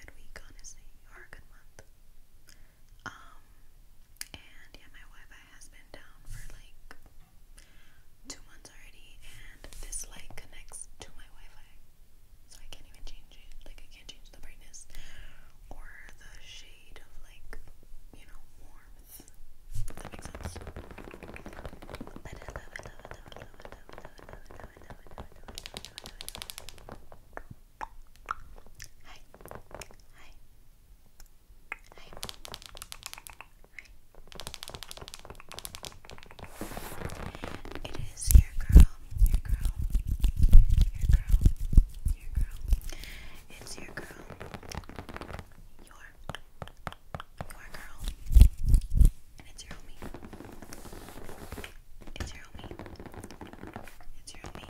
good week, honestly, or a good month. Um, and yeah, my Wi-Fi has been down for like two months already, and this light connects to my Wi-Fi, so I can't even change it. Like I can't change the brightness or the shade of like you know warmth. that makes sense. Hi. Hi. Hi. Hi. It is your girl, your girl, your girl, your girl. It's your girl, your, your girl, it's your homie. It's your homie. It's your homie.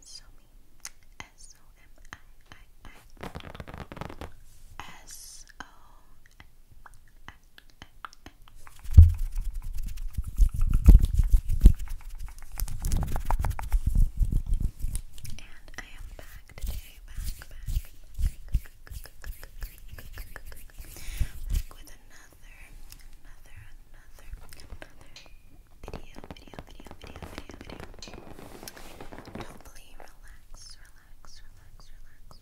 Somi. S O M I I I. S O M I I I. And I am back back today. back, back with another, another, another, another video, video, video, video, video, video. Hopefully, relax, relax, relax,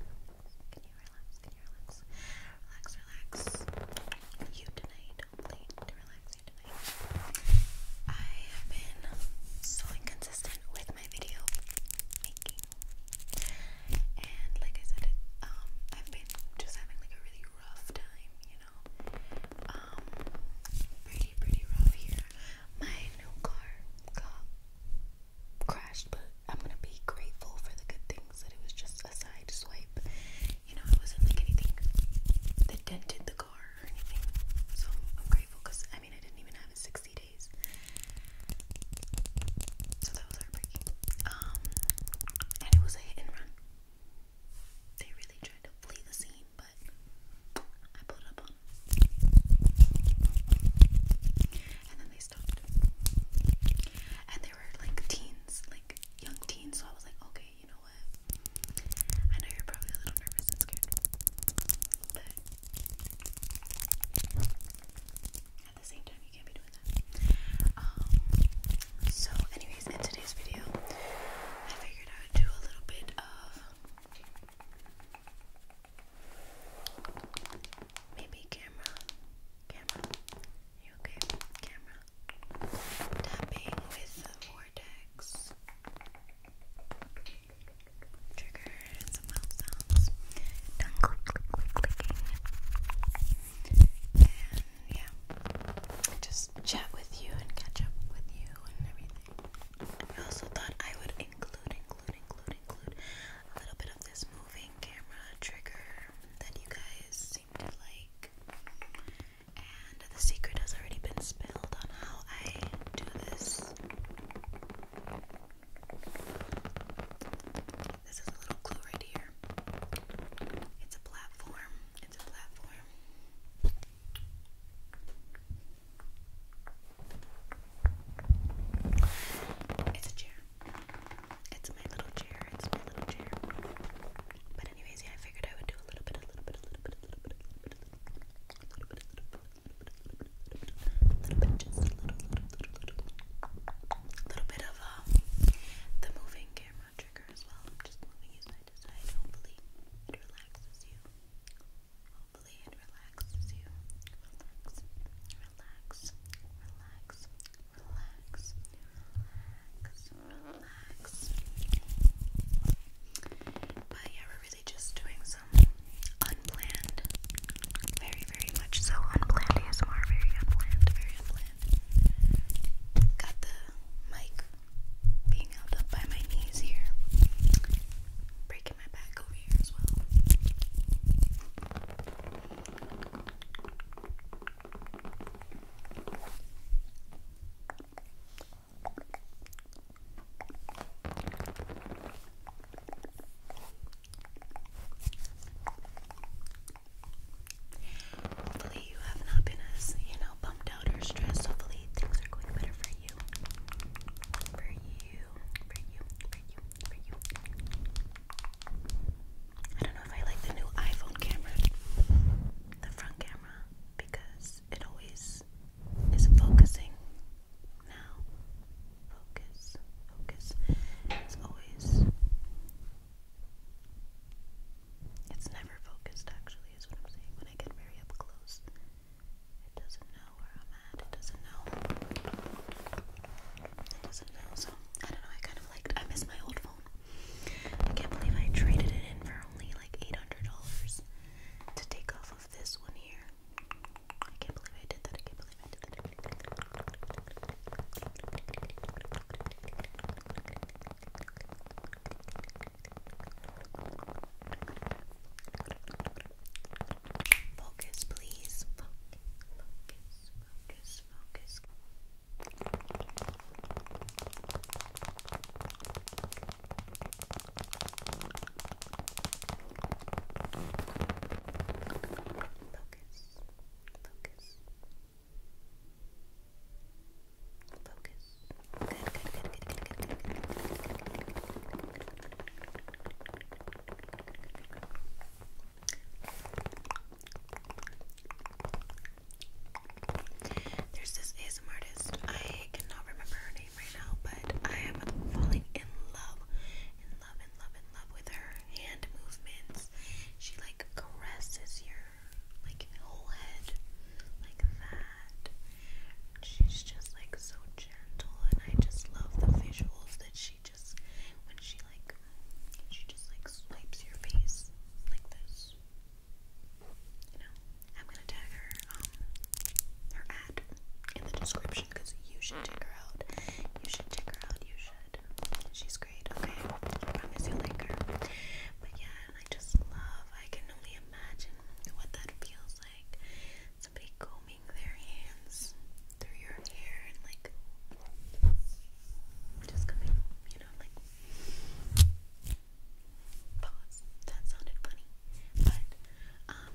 relax. Can you relax? Can you relax? Relax, relax. You tonight, hopefully, to relax you tonight. I have been so inconsistent with my video making. And like I said, um, I've been just having like a really rough time, you know. Um, pretty pretty rough here. My new car got crashed, but I'm gonna be grateful for the good things that it was just a side swipe. You know, it wasn't like anything that dented the car or anything. So I'm grateful because I mean I didn't even have it 60 so that was heartbreaking. Um, and it was a hit and run. They really tried to flee the scene, but I pulled up on And then they stopped. And they were like teens, like young teens, so I was like, okay, you know what? I know you're probably a little nervous and scared, but at the same time, you can't be doing that. Um, so, anyways, in today's video, I figured I would do a little bit of maybe camera, camera, you okay? Camera tapping with the vortex triggers and mouth sounds, tongue clicking, and yeah, just chat with you and catch up with you and everything. I also thought I would include, include, include, include a little bit of this moving camera trigger that you guys seem to like. And the secret has already been spilled on how I do this. This is a little clue right here. It's a platform. It's a platform. It's a chair. It's my little chair. It's my little chair. But anyways, yeah, I figured I would do a little bit, a little bit, a little bit, a little bit, a little bit, a little bit, little a little, bit of uh, the moving camera trigger as well. I'm just moving you side to side. Hopefully, it relaxes you. Hopefully, it relaxes you. Relax, relax, relax, relax, relax, relax just doing some unplanned, very, very much so unplanned ASMR, very unplanned, very unplanned. Got the mic being held up by my knees here, breaking my back over here as well. Hopefully you have not been as, you know, bummed out or stressed. Hopefully things are going better for you. For you. For you. For you. For you. I don't know if I like the new iPhone camera. The front camera. Because it always is focusing now, focus, focus. As always, it's never focused, actually, is what I'm saying. When I get very up close, it doesn't know where I'm at, it doesn't know. It doesn't know, so I don't know. I kind of liked I miss my old phone. I can't believe I traded it in for only like $800 to take off of this one here. I can't believe I did that. I can't believe I did that. Focus, please. Focus. Focus. Focus. Good, good, good, good, good, good, good, There's this ASM artist. I cannot remember her name right now, but I am falling in love, love in love in love with her hand movements. She like caresses your like whole head like that. She's just like so gentle and I just love the visuals that she just when she like she just like swipes your face like this. You know, I'm gonna tag her um her ad in the description because you should check her out. You should check her out. You should. She's great. Okay, promise you like her. But yeah, I just love. I can only imagine what that feels like. Somebody combing their hands through your hair and like just coming, you know, like pause. That sounded funny, but um,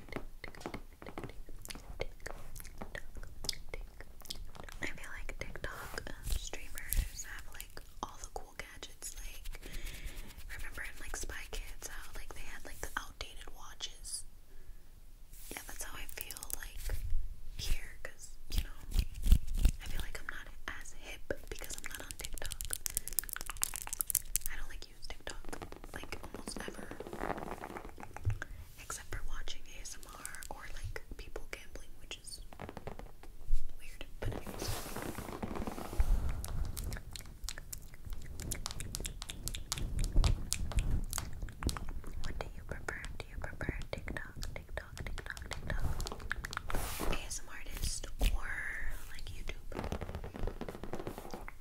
I feel like TikTok uh, streamers have like all the cool gadgets. Like, remember in like Spy Kids how like they had like the outdated watches? Yeah, that's how I feel like here because you know, I feel like I'm not as hip because I'm not on TikTok. I don't like like use TikTok like almost ever, except for watching ASMR or like people gambling, which is weird. But What do you prefer? Do you prefer TikTok, TikTok, TikTok, TikTok? ASM artist or like YouTube?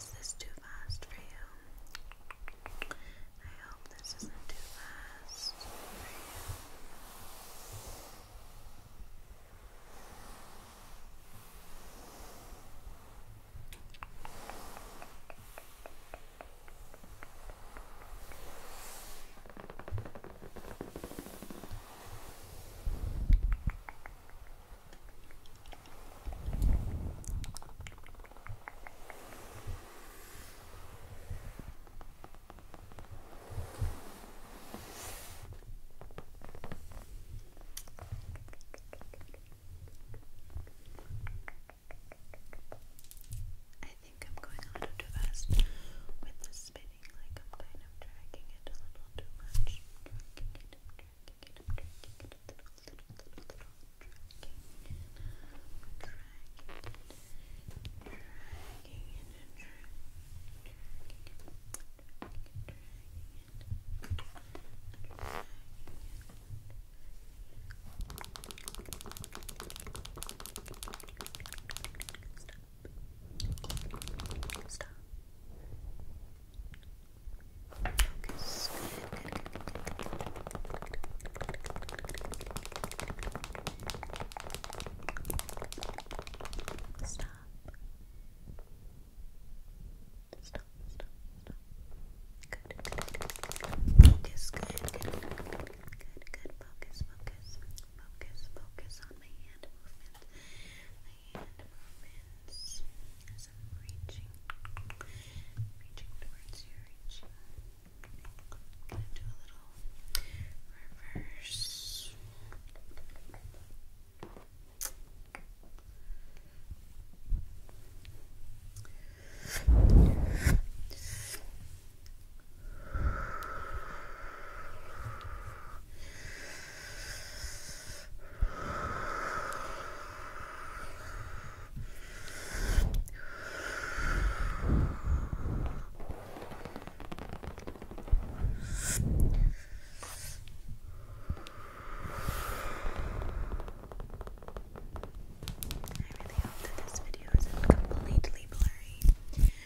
Is this too fast for you? I hope this isn't too fast for you. I think I'm going a little too fast with the spinning, like I'm kind I'm dragging it a little too much. dragging it, dragging it, dragging it a little, little, little, little, dragging it, dragging it, dragging dragging it, Stop. Focus. Good, good, good, good. Stop. Stop, stop, stop. Good, good, good. Focus, good, good, good, good, good, good. Focus, focus, focus, focus on my hand movement hand reaching, towards you, reaching. I'm do a little reverse. I really hope that this video isn't completely blurry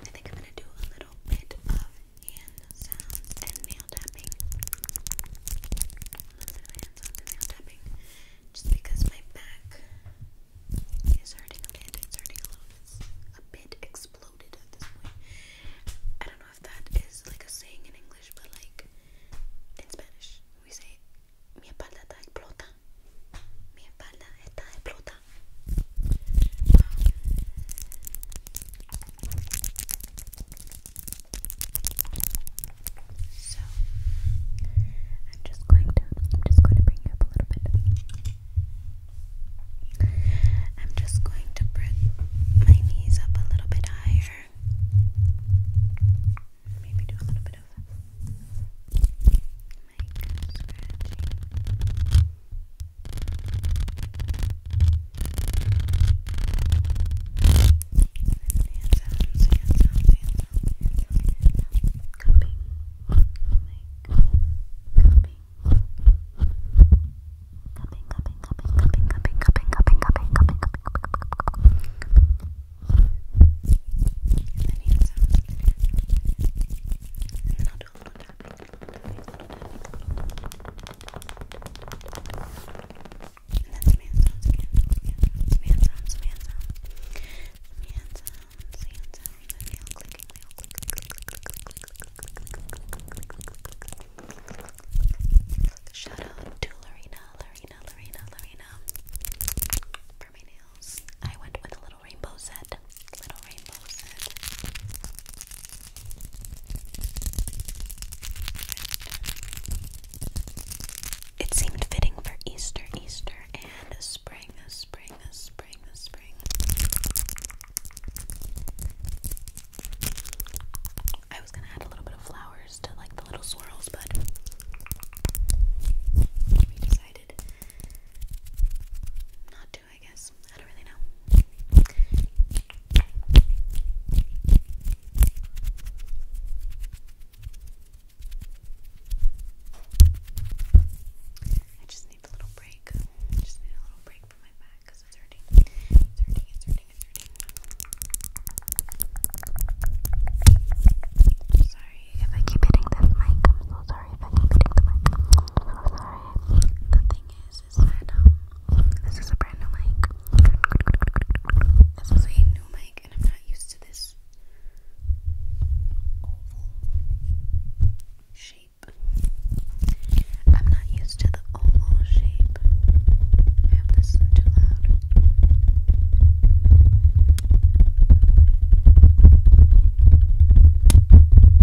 I think I'm going to do a little bit of hand sounds and nail tapping. A little bit of hand sounds and nail tapping. Just because my back is hurting a bit. It's hurting a little bit. a bit exploded at this point. I don't know if that is like a saying in English, but like in Spanish, we say, mi espalda está explota mi so I'm just going to I'm just going to bring you up a little bit. I'm just going to bring my knees up a little bit higher. Maybe do a little bit of make scratching. And sounds, and sounds, and sounds, cupping, cupping, cupping, cupping, cupping, cupping, cupping, cupping, cupping, cupping, and then hand sounds, and then I'll and that's man sounds again. Man sounds, man sounds. Man sounds, man sounds. And nail clicking, nail clicking, click, click, click, click, click, click, click, click. Shout out to Lorena, Lorena, Lorena, Lorena. For my nail I went with a little rainbow set. Little rainbow set. It seemed fitting for Easter, Easter, and spring, spring, spring, spring. I was gonna add a little bit of flowers to like the little swirls, but we decided not I guess. I don't really know. I just need a little break. just need a little break from my back it's hurting. It's hurting, it's hurting, it's hurting. sorry if I keep hitting this mic sorry if I'm hitting the mic. The thing is, is that um, this is a brand new mic. This is a new mic, and I'm not used to this shape. I'm not used to the oval shape. I hope this is too loud.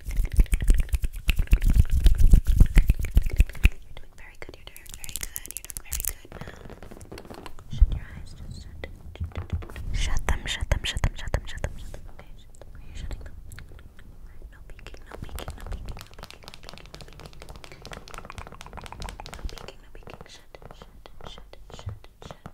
You're doing very good, you're doing very good, you're doing very good now. Shut your eyes, just shut them. Shut them, shut them, shut them, shut them, shut them, shut them. Okay, shut them. Are you shutting them? Alright, no peeking, no peeking, no peeking, no peeking, no peeking, no peeking. No peeking, no peeking. Shut, shut, shut, shut, shut, shut.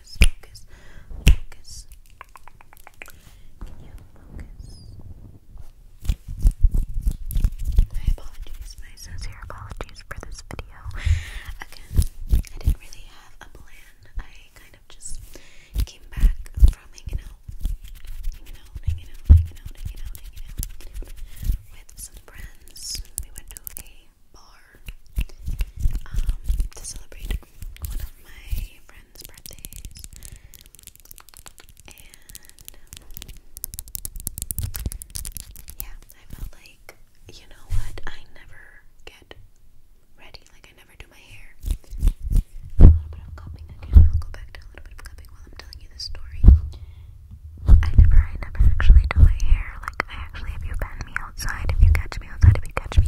focus, focus, focus. you My apologies, my sincere apologies for this video. Again, I didn't really have a plan. I kind of just came back from hanging out, hanging out, hanging out, hanging out, hanging out, hanging out, with some friends. We went to a bar um, to celebrate one of my friends' birthdays, and yeah, I felt like you know what? I never get ready. Like I never do my hair. A little bit of copying again. i a little bit of copying while I'm telling you this story. I never, I never actually do my hair. Like I actually, if you bend me outside, if you catch me outside, if you catch me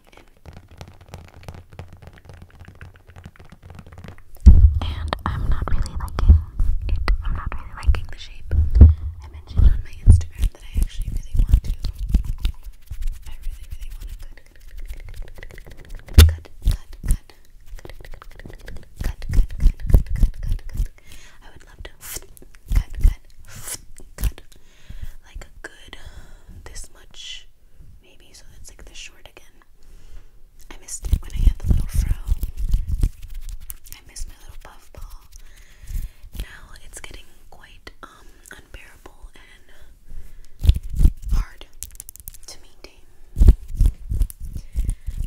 And I'm not really liking it. I'm not really liking the shape. I mentioned on my Instagram that I actually really want to. I really, really want to cut, cut, cut, cut, cut, cut, cut, cut, cut, cut, cut, cut. I would love to cut, cut, cut, like a good this much, maybe. So it's like the short again. I missed when I had the little fro. I missed my little puff ball. Now it's getting quite um, unbearable and hard to maintain.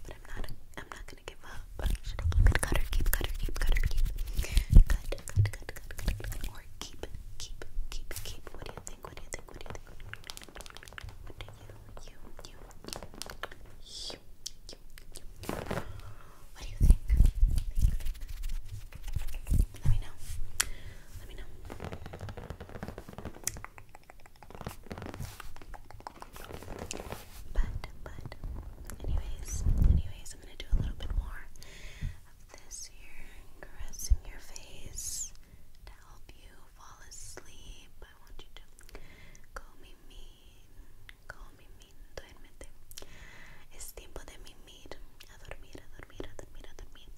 But I'm not I'm not gonna give up. Should I keep it cut or keep cut or keep cut or keep cut cut cut cut cut cut, cut or keep keep, keep, keep. What do you think? What do you think? What do you think? What do you, you, you, you, you, What do you think. Let me know. Let me know. But, but, anyways, anyways, I'm gonna do a little bit more this here caressing your face to help you fall asleep. I want you to call me mean, call me mean, duérmete. Es tiempo de mimir, a dormir, a dormir, a dormir, a dormir.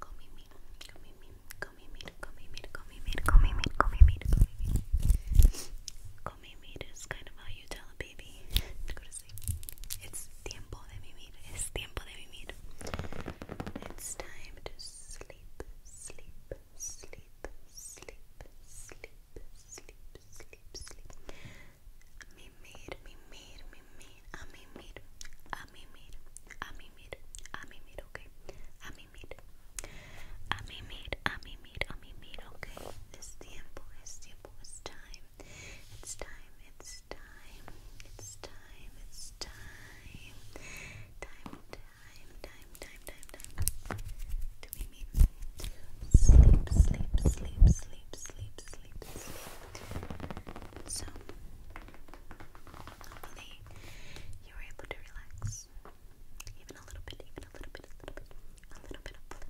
Comimir, comimir, comimir, comimir, comimir, comimir, comimir, comimir. Comimir is kind of how you tell a baby to go to relaxing. It's tiempo de vivir. Es tiempo de vivir. It's time to sleep, sleep, sleep, sleep, sleep, sleep, sleep, sleep. Mimir, mimir, mimir, a mimir, a mimir, a mimir, a mimir, okay? A mimir, a mimir, a mimir, a mimir, okay? Es tiempo, es tiempo, es time. It's time, it's time, it's time, it's time. Time, time, time, time, time, time. Do we mean sleep, sleep, sleep, sleep, sleep, sleep, sleep. So hopefully you were able to relax. Even a little bit, even a little bit, a little bit, a little bit of play.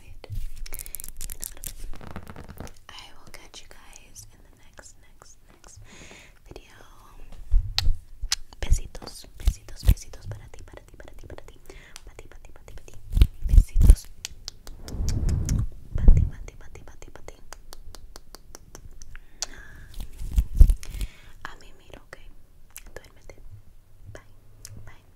enjoy I will catch you guys in the next, next, next video. Besitos, besitos, besitos para ti, para ti, para ti, para ti, para ti, para ti, para ti, Besitos. Para ti, para ti, para ti, para ti, para ti. A mí miro, ok. Duérmete. Bye. Bye.